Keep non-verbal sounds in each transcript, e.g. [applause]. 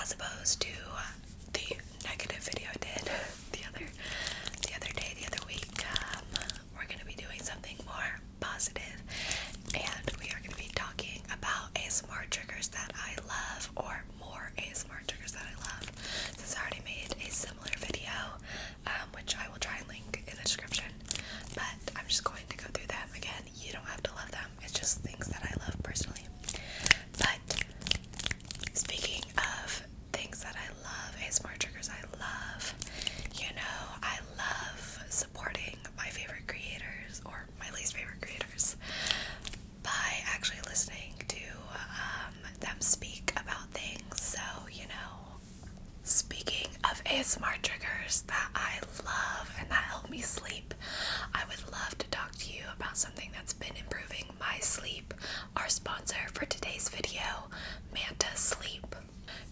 as opposed to the negative video I did [laughs] the other the other day, the other week. Um, we're gonna be doing something more positive, and we are gonna be talking about ASMR triggers that I love, or more ASMR triggers that I love. Since I already made a similar video, um, which I will try and link in the description, but I'm just going to go through them again and you don't have to love them. It's just things that I love personally. But speaking of things that I love, ASMR triggers I love, you know, I love supporting my favorite creators or my least favorite creators by actually listening to um, them speak about things. So, you know, speaking of ASMR triggers that I love and that help me sleep. I would love to talk to you about something that's been improving my sleep. Our sponsor for today's video, Manta Sleep.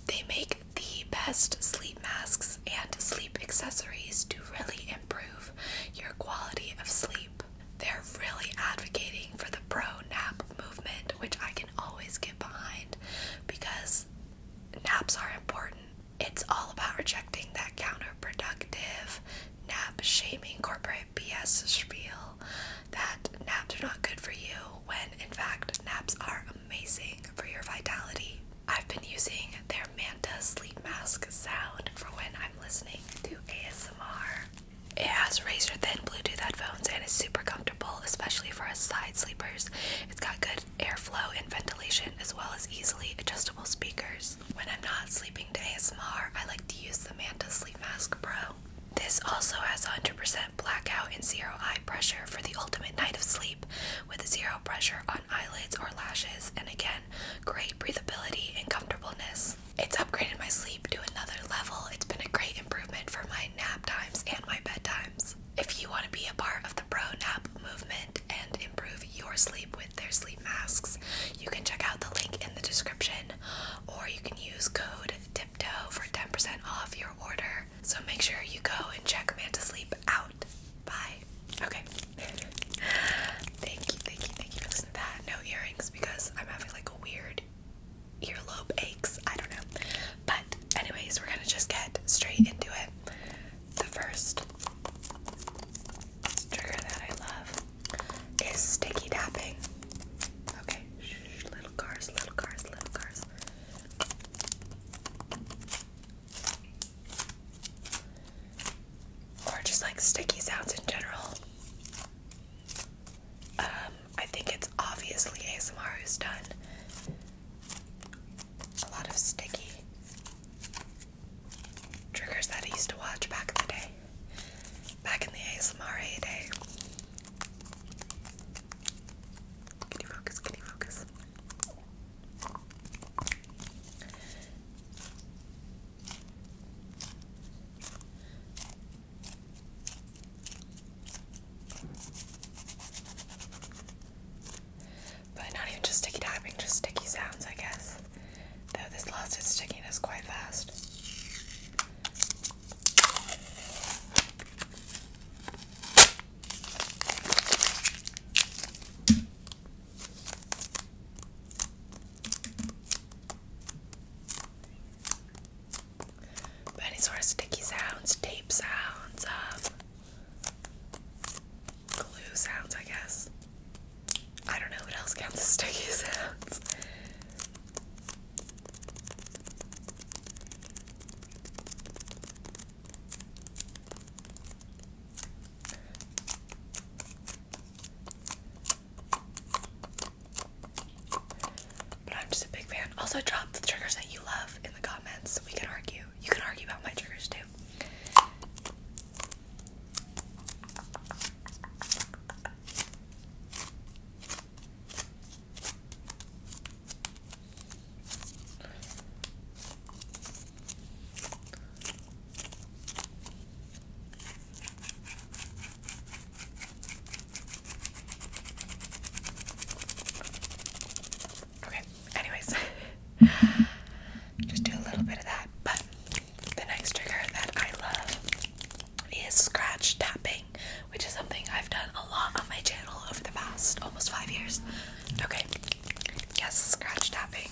They make the best sleep masks and sleep accessories to really improve your quality of sleep. They're really advocating for the pro nap movement, which I can always get behind because naps are important. It's all about rejecting that counterproductive, nap shaming corporate BS spiel that naps are not good for you when in fact naps are amazing for your vitality. I've been using their Manta sleep mask sound for when I'm listening to ASMR. It has razor thin Bluetooth headphones and is super comfortable, especially for us side sleepers. It's got good airflow and ventilation, as well as easily adjustable speakers. When I'm not sleeping to ASMR, I like to use the Manta Sleep Mask Pro. This also has 100% blackout and zero eye pressure for the ultimate night of sleep, with zero pressure on eyelids or lashes, and again, great breathability and comfortableness. It's upgraded my sleep to another level. It's been a great improvement for my nap times and my bed times. If you want to be a part of the pro nap movement, and improve your sleep with their sleep masks. You can check out the link in the description or you can use code TIPTOE for 10% off your order. So make sure you go and check Manta Sleep out. Bye. Okay. thank you, thank you, thank you for listening to that. No earrings because I'm having like a weird earlobe aches. I don't know. But anyways, we're gonna just get straight into it. The first trigger that I love is sticky tapping. Okay, Shh, little cars, little cars, little cars. Or just like sticky sounds in general. Um, I think it's obviously ASMR who's done a lot of sticky triggers that I used to watch back in the day, back in the ASMR day. Can you focus? Can you focus? But not even just sticky tapping, just sticky sounds, I guess. Though this lost its stickiness quite fast. any sort of sticky sounds, tape sounds, um, glue sounds, I guess. I don't know what else counts as sticky sounds. But I'm just a big fan. Also, drop the triggers that you love in the comments we can argue. You can argue about my triggers too. Okay, anyways, just do a little bit of that. But the next trigger that I love is scratch tapping, which is something I've done a lot on my channel over the past almost five years. Okay, yes, scratch tapping.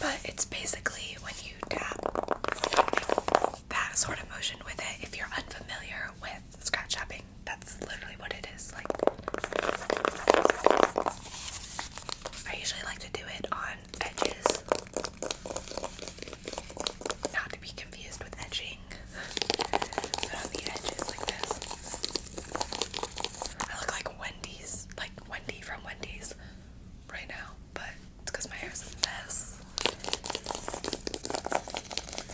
But it's basically when you tap that sort of motion with it. If you're unfamiliar with scratch shopping. That's literally what it is. Like, I usually like to do it on edges, not to be confused with edging, but on the edges like this. I look like Wendy's, like Wendy from Wendy's right now, but it's because my hair's a mess.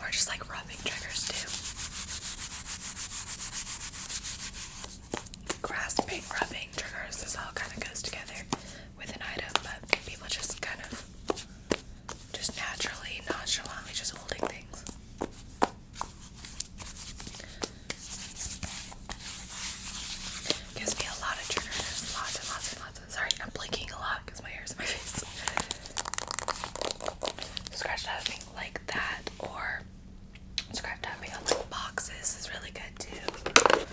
We're just like rubbing triggers too. Grasping, rubbing triggers, this all kind of goes together with an item, but people just kind of just naturally, nonchalantly, just holding things. Gives me a lot of triggers, lots and lots and lots. Of, sorry, I'm blinking a lot because my hair's in my [laughs] face. Scratched out of me like that, or scratched out of me on like boxes is really good too.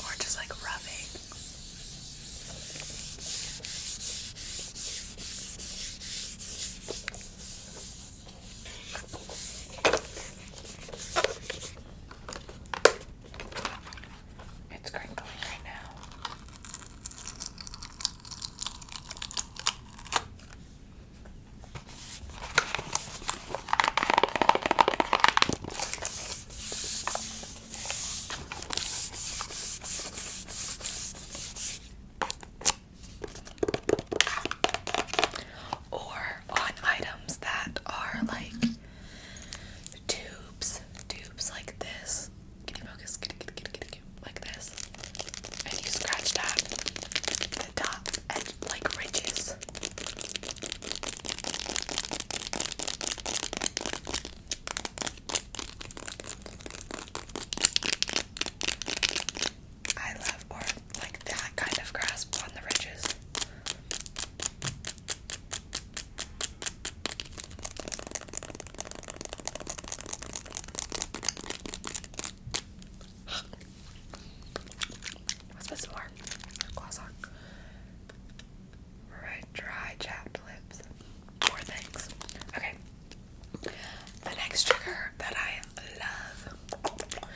Or just like rubbing. It's crinkling right now. Or on items that are like tubes, tubes like this. Can you focus? Can you, can you, can you, can like this. And you scratched that the top edge like ridges. I love like that kind of grasp on the ridges. Let's more gloss on. Right, dry chapped lips. More things. Okay. The next trigger that I love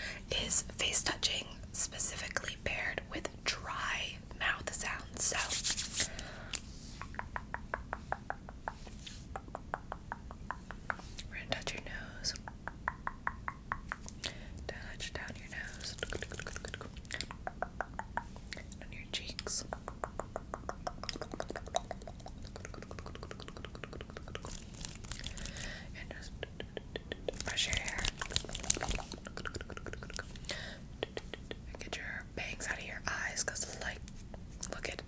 is face touching, specifically paired with dry mouth sounds. So touch your nose. Touch down your nose. On your cheeks. And just brush your hair. Get your bangs out of your eyes because Look it.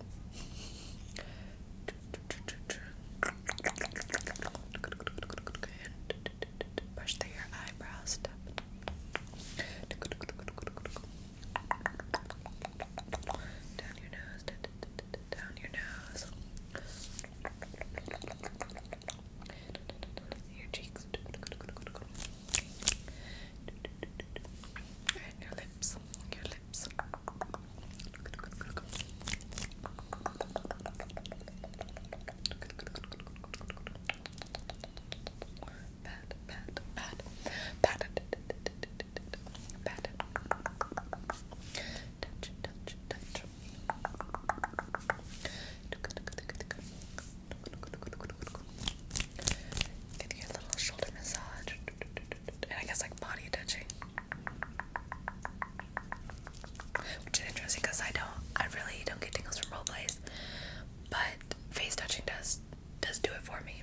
brush through your eyebrows. Down your nose. Down your nose your cheeks and your lips, your lips pat, pat, pat, pat pat, touch, touch, touch Give a little shoulder massage. And I guess like body touching. Which is interesting because I don't I really don't get tingles from role plays. But face touching does does do it for me.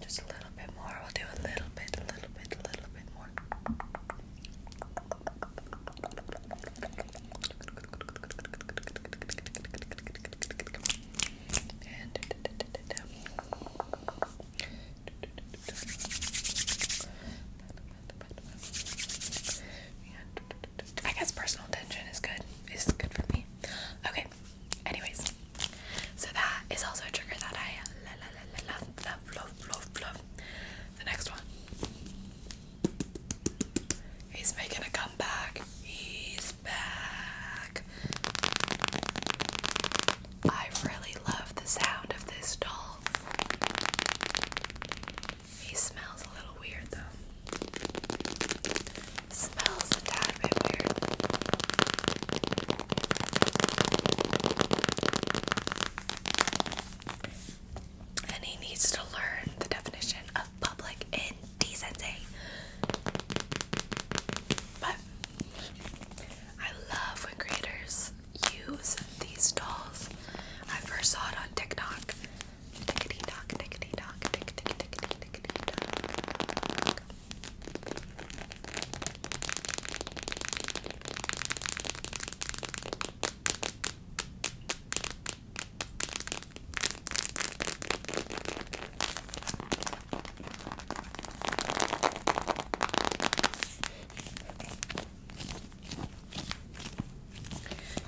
just a little bit more. We'll do a little bit, a little bit, a little bit more. And I guess personal attention is good. It's good for me. Okay. Anyways, so that is also a trigger that I la, la, la, la, la, love, love, love, love. The next one. He's making a comeback. He's back. I really love the sound of this doll. He smells a little weird though. Smells a tad bit weird. And he needs to learn the definition of public indecency. But I love when creators use these dolls. I first saw it on TikTok.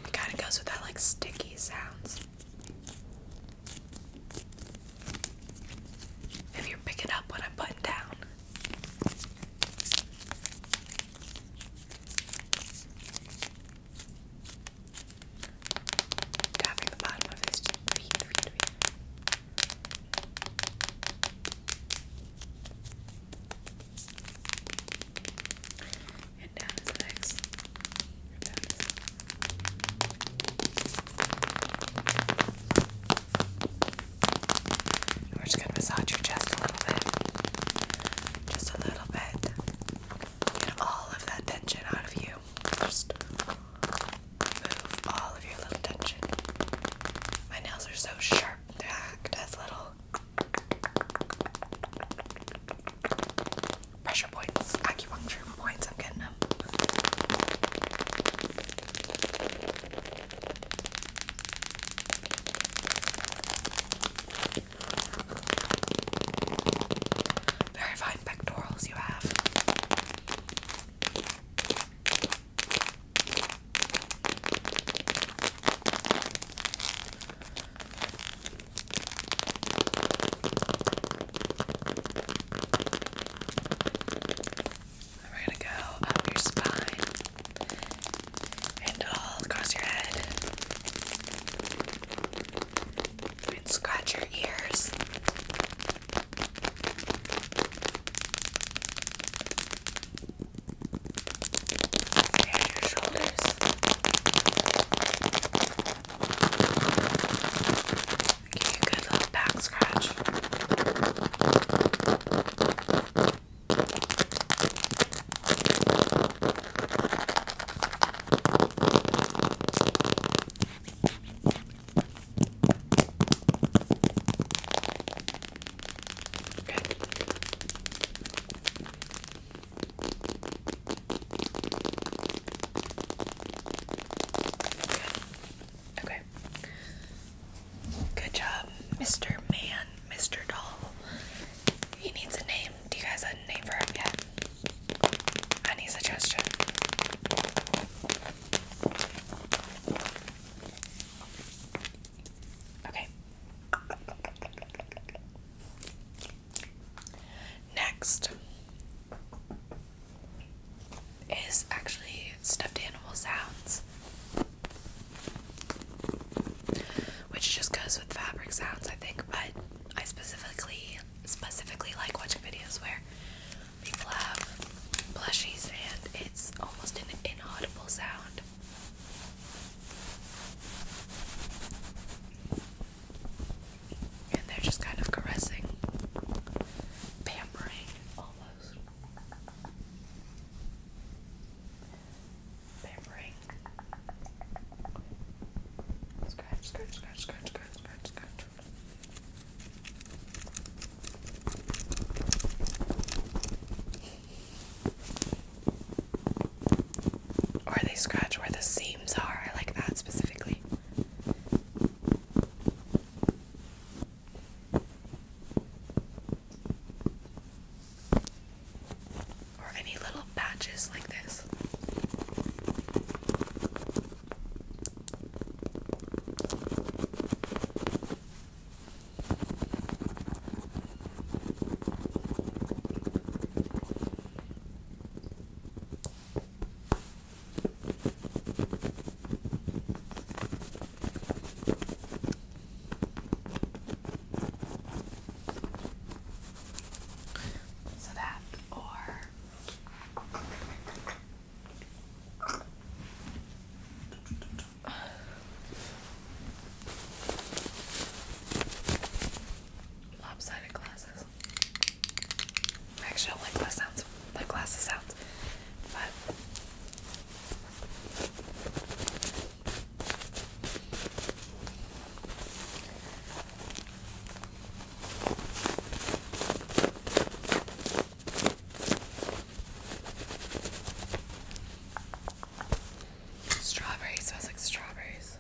It kind of goes with that like sticky sounds. If you're picking up what I'm putting down. Tapping the bottom of his feet. And down his legs. Down we're just gonna massage your chest a little bit. Just a little bit. Get all of that tension out of you. Just remove all of your little tension. My nails are so sharp, they act as little pressure points, acupuncture points. I'm getting um, very fine pectorals you have. We're gonna go up your spine and all across your head. And scratch your ears. And your shoulders. Give you a good little back scratch. Good. Okay. Good job, Mr. Man, Mr. Doll. He needs a name. Do you guys a name for him yet? Any suggestion? Okay. Next, is actually stuffed animal sounds, which just goes with fabric sounds, I think. But I specifically specifically like watching videos where people have plushies and it's almost an inaudible sound. And they're just kind of caressing, pampering almost Scratch, scratch, scratch, scratch, scratch, scratch, scratch. Or they scratch where the seams are. I like that specifically. Or any little patches like this. So that or lopsided glasses. Actually, I don't like glass sounds, like glass sounds, but strawberries smells like strawberries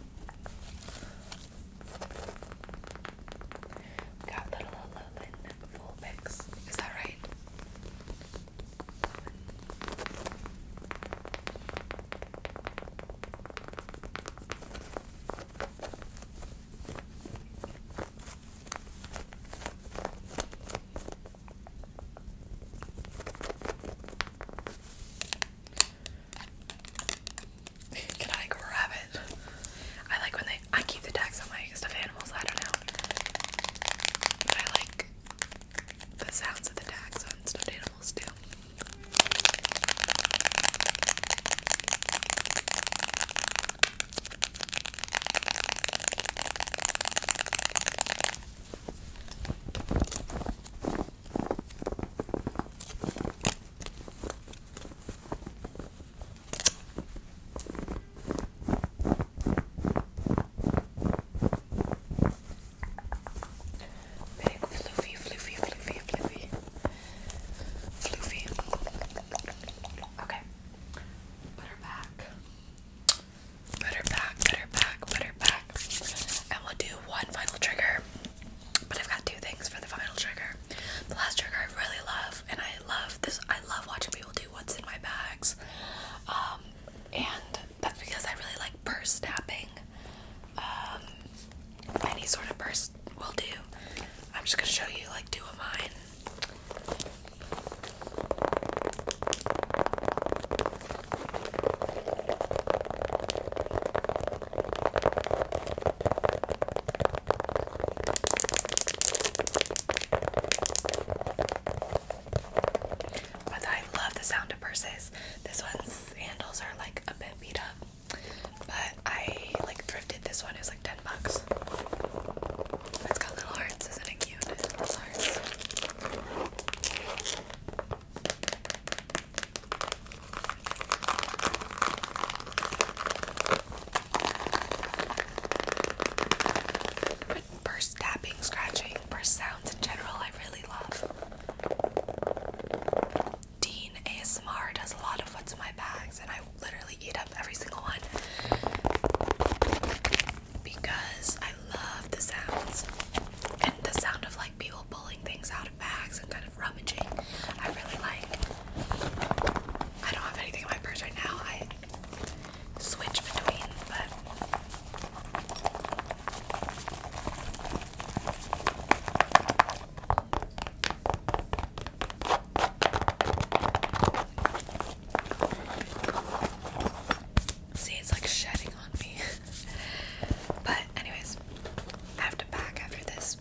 got little Alolan full picks. Is that right? Can I grab it? I like when they. I keep the tags on my stuffed animals. I don't know. But I like the sounds of the tags on stuffed animals too. Big fluffy, fluffy, fluffy, fluffy, fluffy. Okay, put her back, put her back, put her back, put her back, and we'll do one final trigger. But I've got two things for the final trigger. The last trigger I really love and I love this. I love watching people do what's in my bags, um, and that's because I really like purse tapping. Um, any sort of purse will do. I'm just gonna show you like two of mine. But I love the sound of purses. This one's handles are like a bit beat up, but I like thrifted this one. It like ten bucks. It's got little hearts, isn't it cute? Little hearts. But tapping, scratching, purse sounds in general, I really love. Dean ASMR does a lot of what's in my bags, and I literally eat up every single one because I love the sounds and the sound of like people pulling things out of bags and kind of of rummaging. I really like. I don't have anything in my purse right now. I switch between, but. See, it's like shedding on me. [laughs] but, anyways, I have to pack after this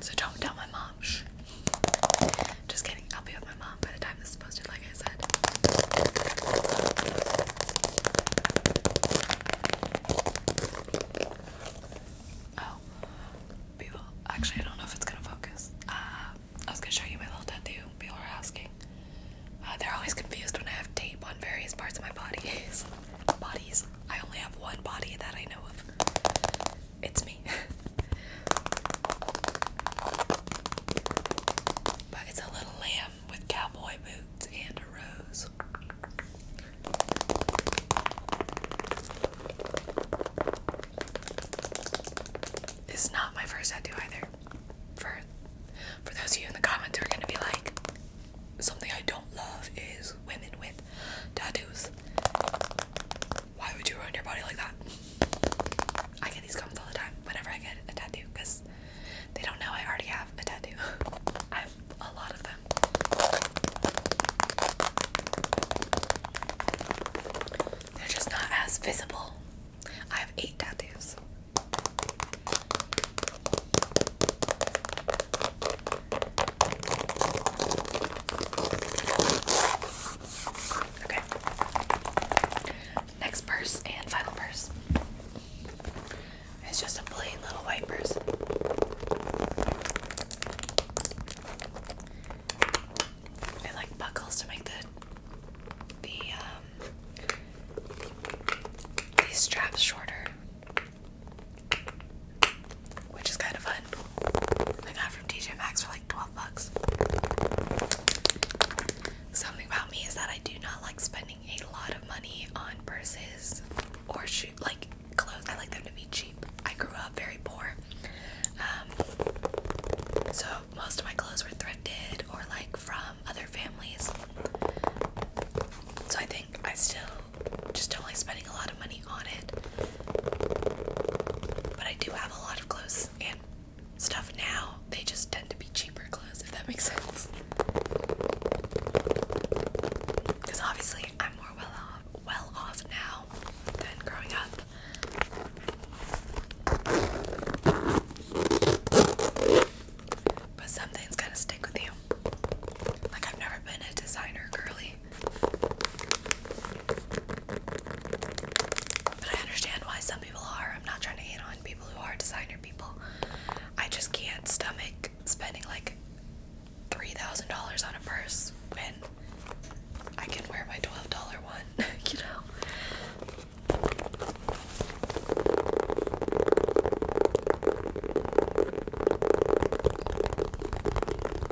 So don't tell my mom. Just kidding. I'll be with my mom by the time this is posted, like I said. Oh, people. Actually, I don't know if it's gonna focus. Uh, I was gonna show you my little tattoo. People are asking. Uh, they're always confused when I have tape on various parts of my body. [laughs] Bodies. I only have one body that I know of it's me. but it's a little lamb with cowboy boots and a rose. This is not my first tattoo either. For for those of you in the comments who are gonna be like, something I don't love is women with tattoos. Why would you ruin your body like that? I get these comments all the time whenever I get a tattoo because they don't know I already have a tattoo. [laughs] I have a lot of them. They're just not as visible. I have eight tattoos. Okay. Next purse and final purse. It's just a plain little white purse. It like buckles to make the the um, these straps shorter. Which is kind of fun. I got from TJ Maxx for like 12 bucks. Something about me is that I do not like spending a lot of money on purses or shoe like clothes. I like them to be cheap. I grew up very poor. Um, so most of my clothes were thrifted or like from other families. So I think I still just don't like spending a lot money on it. But I do have a lot of clothes and stuff now. They just tend to be cheaper clothes, if that makes sense. Because obviously I'm more well off, well off now than growing up. But some things kind stick with you. Like I've never been a designer girly. But I understand why some people are. I'm not trying to hate on people who are designer people. I just can't stomach spending like $3,000 on a purse when I can wear my $12 one, [laughs] you know?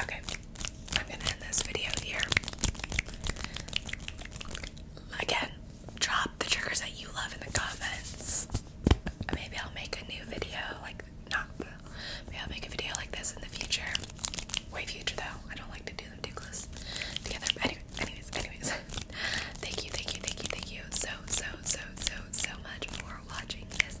Okay, I'm gonna end this video here. Again, drop the triggers that you love in the comments. Maybe I'll make a new video, like, not, maybe I'll make a video like this in the future. Way future, though. I don't like to do them too close together. anyway, anyways, anyways. [laughs] thank you, thank you, thank you, thank you so, so, so, so, so much for watching this